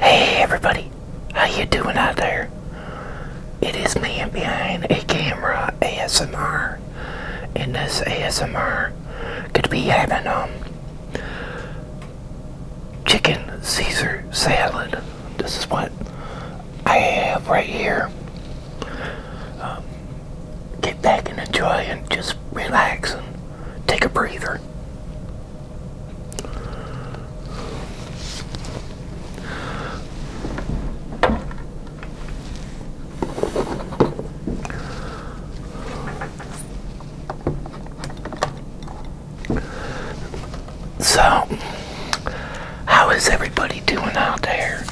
Hey everybody, how you doing out there? It is me behind a camera ASMR. In this ASMR, could be having um chicken Caesar salad. This is what I have right here. Um, get back and enjoy and just relax and take a breather. So, how is everybody doing out there?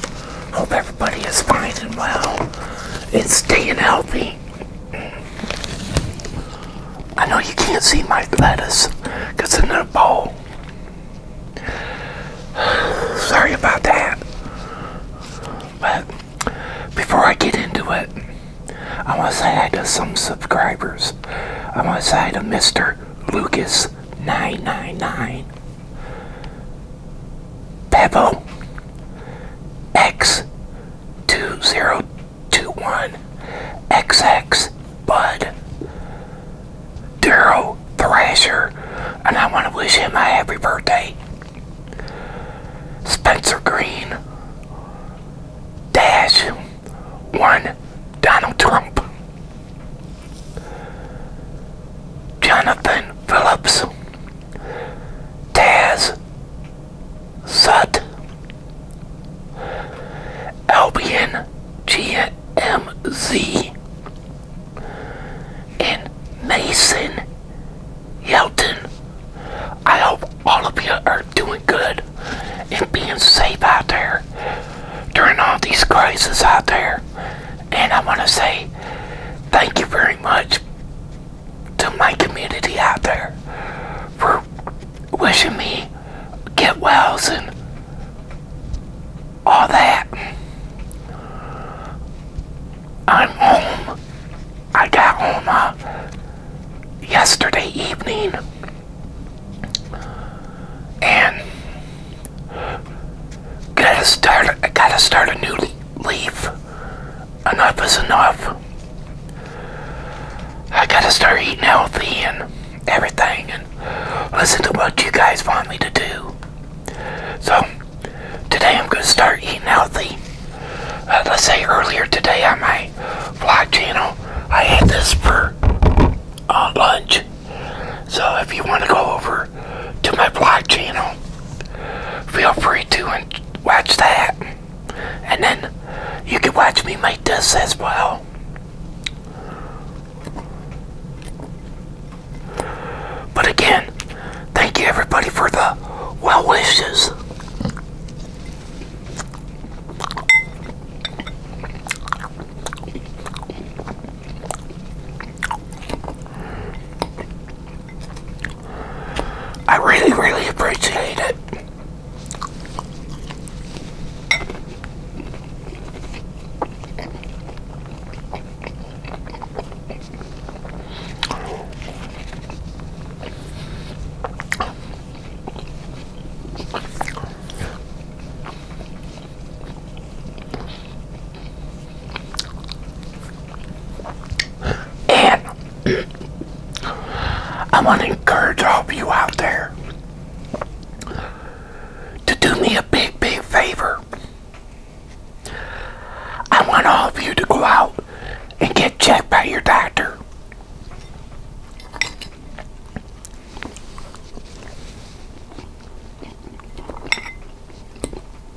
Hope everybody is fine and well and staying healthy. I know you can't see my lettuce because it's in a bowl. Sorry about that. But before I get into it, I want to say hi to some subscribers. I want to say hi to Mr. Lucas999, Pebble, X 2021 X Bud Daryl Thrasher, and I want to wish him a happy birthday. Spencer Green Dash One Donald Trump Jonathan Phillips Taz Sut Albion GMZ and Mason Yelton. I hope all of you are doing good and being safe out there during all these crises out there. And I want to say thank you very much to my community out there for wishing me get wells and all that. I'm home. I got home uh, yesterday evening and gotta start gotta start a new leaf enough is enough. I gotta start eating healthy and everything and listen to what you guys want me to do. So, today I'm gonna start eating healthy. Uh, let's say earlier today on my vlog channel, I had this for uh, lunch. So if you want to go over to my vlog channel, feel free to watch that. And then you can watch me make this as well. But again, thank you everybody for the well wishes. I really, really appreciate it. And I want to encourage all of you out there to do me a big, big favor. I want all of you to go out and get checked by your doctor.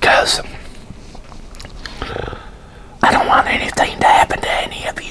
Because I don't want anything to happen to any of you.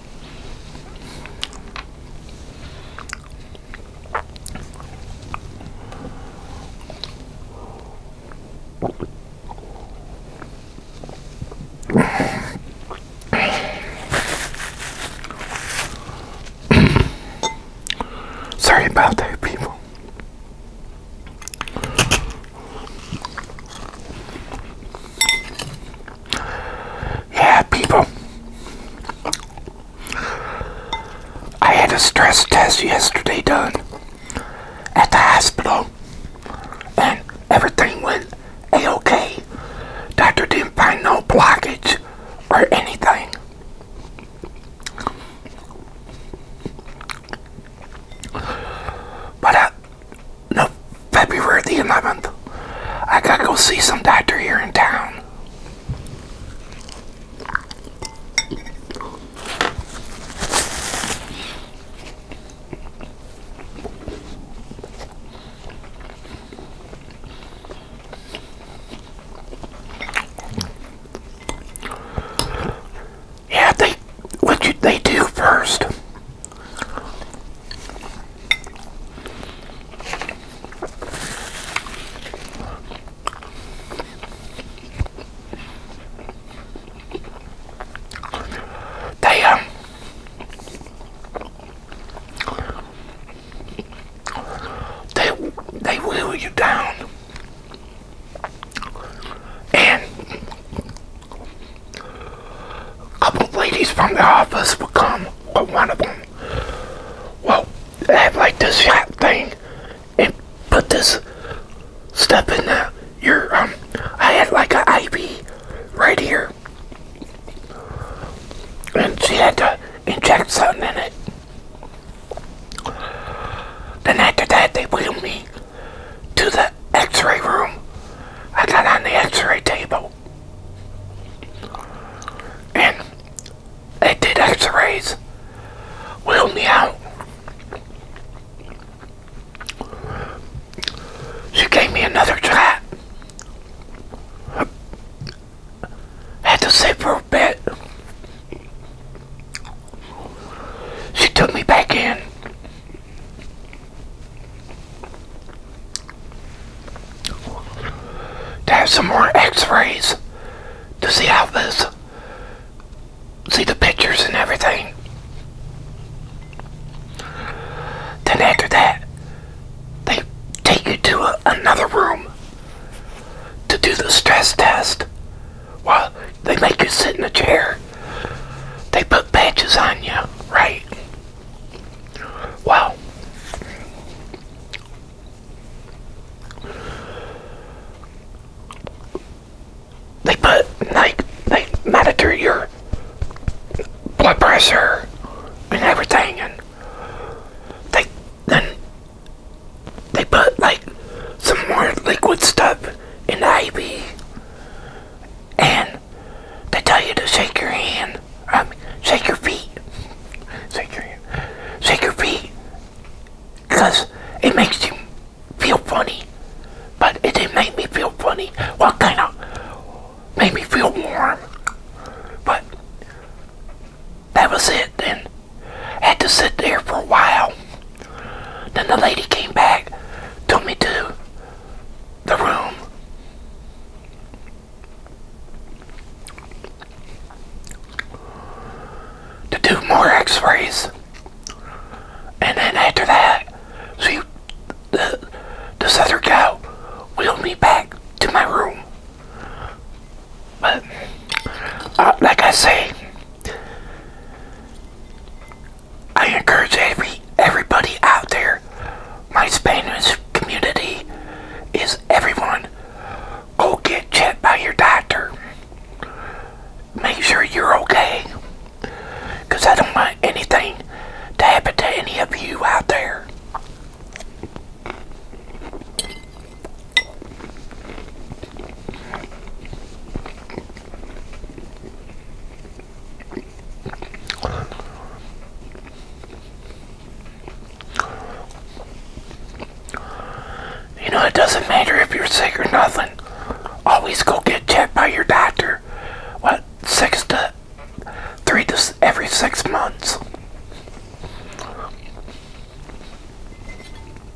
Sorry about that, people. Yeah, people. I had a stress test yesterday done at the hospital, and everything went a-okay. Doctor didn't find no blockage or anything. But I, no, February the 11th. I gotta go see some doctor here in town. Yeah, they what you, they do first. They um they they wheel you down and a couple ladies from the office would come. Well, one of them. Well, they have like this shot thing and put this stuff in the, your, um, I had like an IV right here. And she had to inject something in it. Then after that, they wheeled me to the x-ray room. I got on the x-ray table. And they did x-rays. Wheeled me out. She gave me another try. Had to sit for a bit. She took me back in to have some more x-rays to see how this see the pictures and everything then after that they take you to another room to do the stress test while they make you sit in a chair they put patches on you, right? Well, they put like they monitor your blood pressure and everything, and they then they put like some more liquid stuff in the IV and they tell you to shake your hand, shake your feet, shake your hand, shake your feet, because it makes you feel funny. But it didn't make me feel funny. What well, kind of made me feel warm? But that was it. Then I had to sit there for a while then the lady came back, took me to the room. To do more x-rays. And then after that, she, the, this other gal wheeled me back to my room. But, uh, like I say, I encourage every everybody out there, my Spanish community is everyone. Go get checked by your doctor. Make sure you're okay. Because I don't want anything to happen to any of you out there. You know, it doesn't matter if you're sick or nothing. Always go get checked by your doctor. What, six to three to every six months?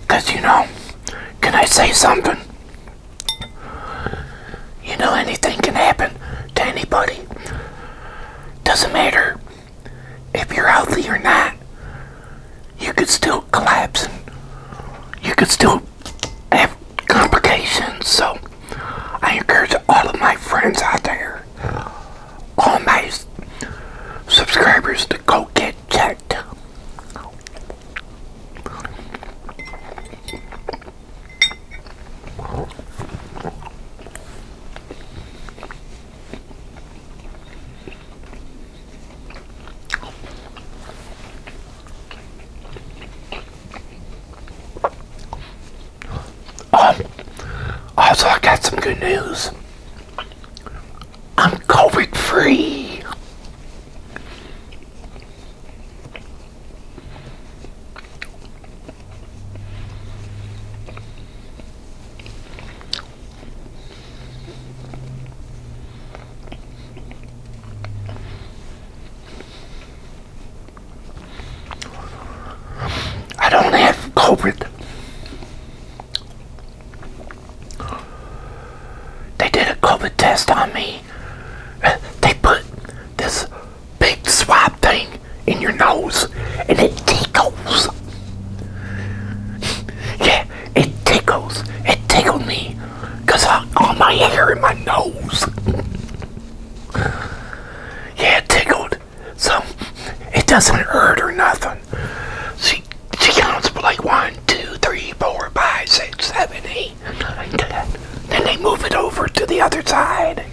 Because, you know, can I say something? You know, anything can happen to anybody. Doesn't matter if you're healthy or not. You could still collapse and you could still have complications. So, I encourage all of my friends out there all my subscribers to go get checked. Um, also, I got some good news. I'm COVID free. I don't have COVID. They did a COVID test on me. They put this big swab thing in your nose and it tickles. yeah, it tickles. It tickled me because all my hair in my nose. yeah, it tickled. So it doesn't hurt or nothing. She, she counts like one, two, three, four, five, six, seven, eight, nine, ten. Then they move it over to the other side.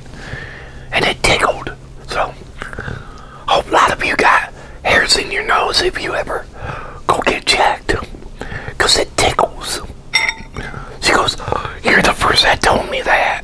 And it tickled. So, hope a lot of you got hairs in your nose if you ever go get checked. Because it tickles. She goes, you're the first that told me that.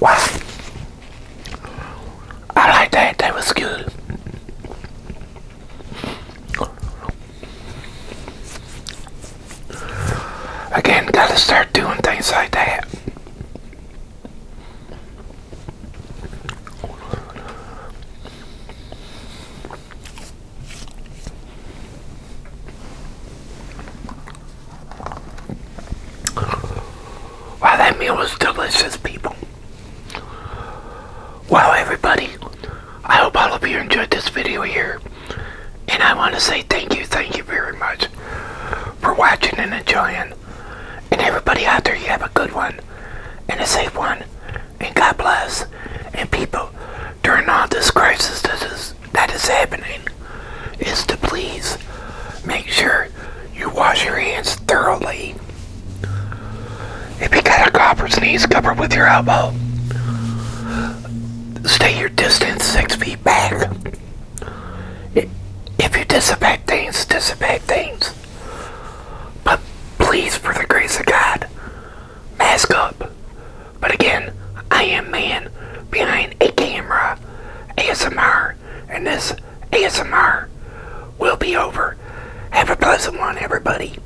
Wow. I like that. That was good. Again, gotta start doing things like that. Wow, that meal was delicious, people. Wow, everybody. I hope all of you enjoyed this video here. And I want to say thank you, thank you very much for watching and enjoying. And everybody out there, you have a good one and a safe one. And God bless. And people, during all this crisis that is, happening, is to please make sure you wash your hands thoroughly. If you got a copper sneeze, cover with your elbow stay your distance six feet back. If you disinfect things, disinfect things. But please, for the grace of God, mask up. But again, I am man behind a camera, ASMR, and this ASMR will be over. Have a pleasant one, everybody.